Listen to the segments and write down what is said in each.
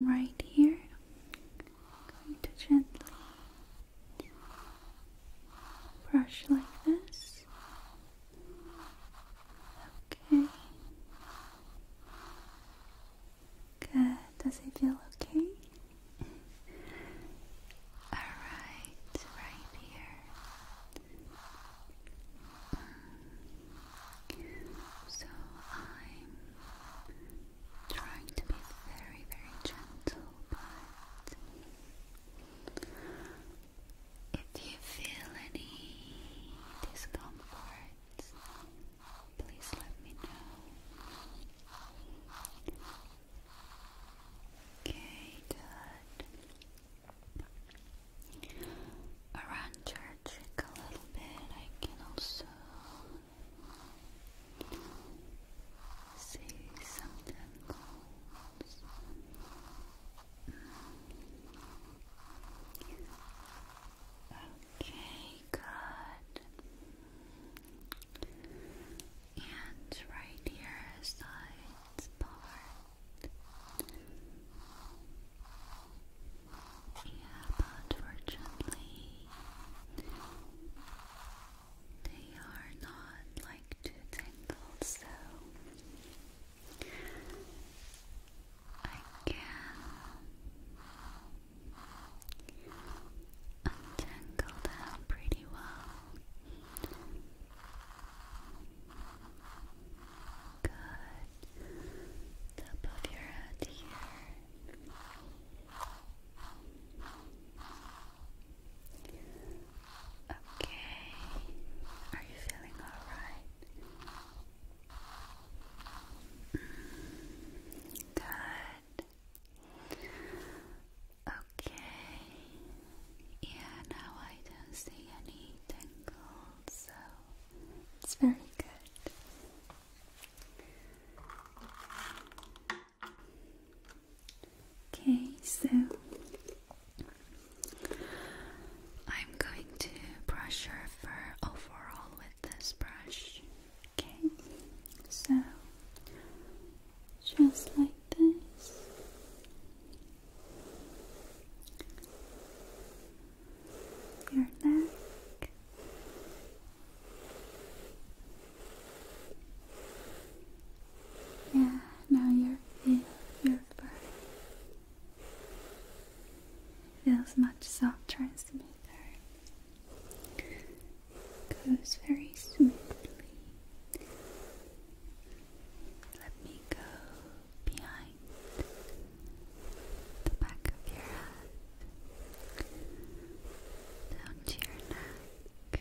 right here. I'm going to gently brush like this. Okay. Good. Does it feel okay? Alright, right here. So I'm trying to be very, very gentle, but if you feel any discomfort, please let me know. Okay, good around your cheek a little bit. I can also see some tentacles. Mm, okay, good. And right here is the part. Yeah, but fortunately, they are not like too tangled, so I can untangle them pretty well. Good. Top of your head here. Okay. Are you feeling all right? Mm. Good. Okay. Yeah, now I don't see any tingle, so it's very good. Okay, so I'm going to brush your fur overall with this brush. Okay, so just like this your neck. Yeah, now your feel your fur feels much softer and smoother. Goes very smoothly let me go behind the back of your head, down to your neck.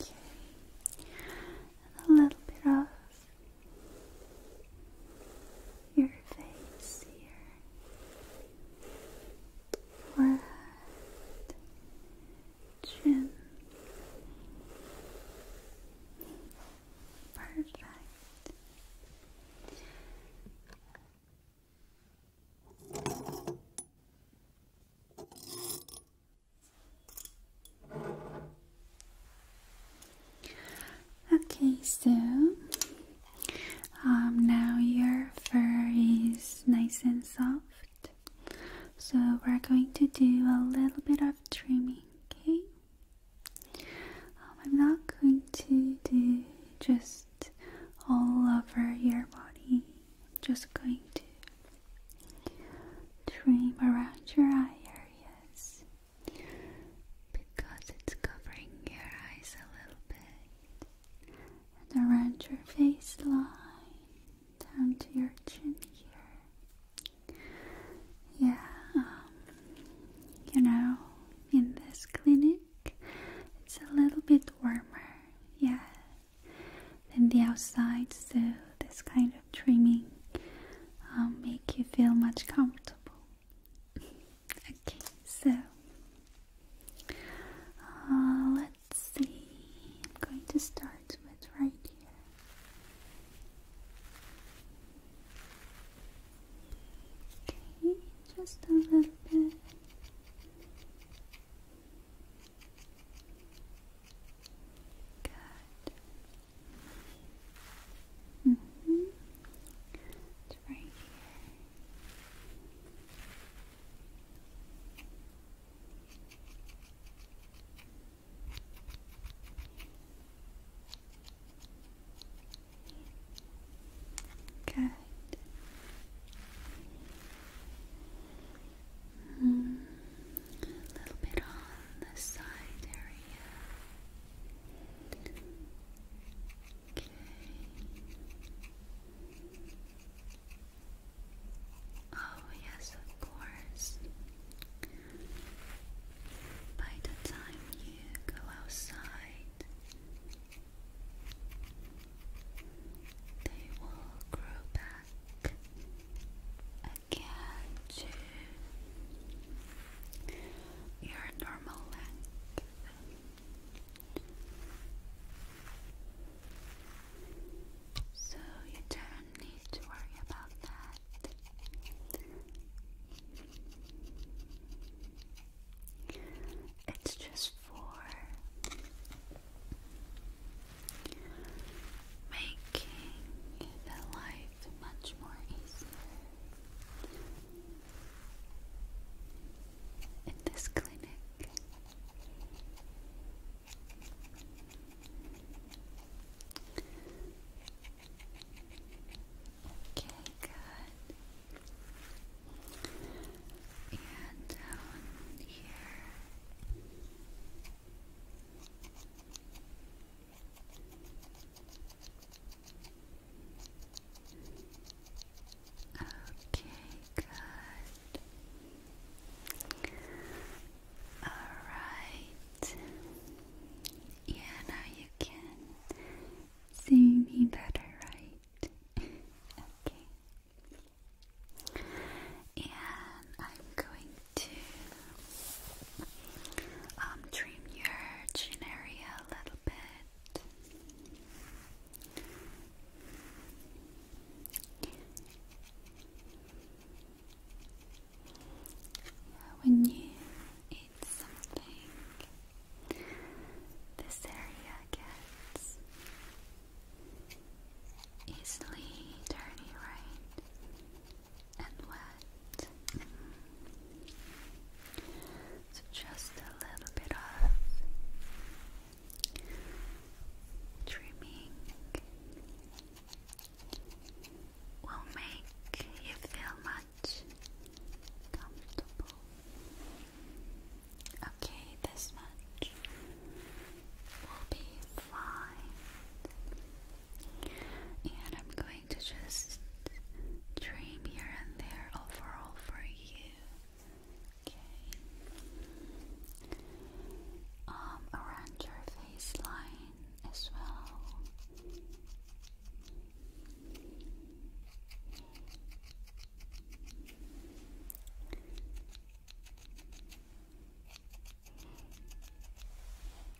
Okay, and a little bit of your face here, forehead, Perfect. Okay, so um, now your fur is nice and soft. So we're going to do a little bit of trimming, okay? Um, I'm not going to do just all over your body. I'm just going to trim around your eye areas because it's covering your eyes a little bit and around your face line down to your chin here. Yeah, um, you know, in this clinic, it's a little bit warmer, yeah, than the outside, so this kind of trimming will um, make you feel much comfortable. Okay, so uh, let's see. I'm going to start with right here. Okay, just a little bit. Good. -hmm. It's right here. Good. Mm, a little bit on the side area. Okay. Oh, yes, of course. By the time you go outside, they will grow back again to your normal length. So you don't need to worry about that. It's just for making the life much more easier in this clinic. Okay, good. And down here. Okay, good. All right. Yeah, now you can see me better, right? okay. And I'm going to um, trim your chin area a little bit. When you eat something, this area gets easily dirty, right? and wet. So just a little bit of trimming will make you feel much comfortable. Okay, this much will be fine. And I'm going to just dream here and there overall for you. Okay. Um, around your face line as well.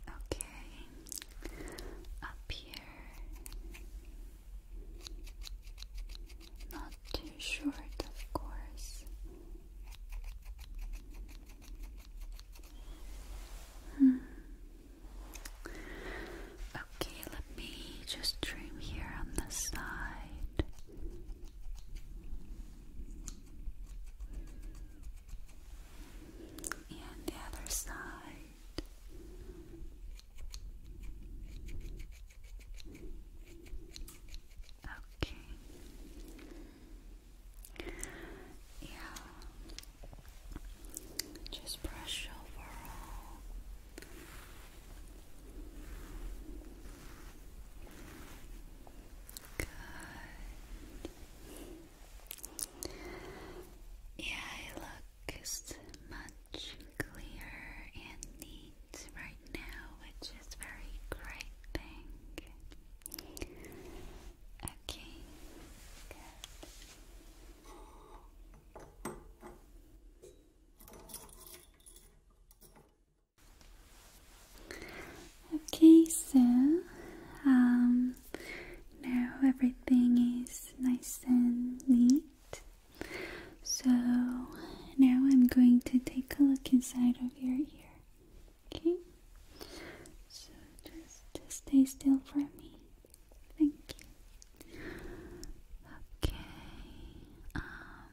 Okay, up here. Not too short, of course. Hmm. Okay, let me just trim here on the side and the other side. Okay. Yeah. Just brush over Good. Yeah, it looks much clearer and neat right now, which is very great thing. Okay. Okay, so um, now everything is nice and neat. So now I'm going to take a look inside of your ear. Okay, so just, just stay still for me. Thank you. Okay, um,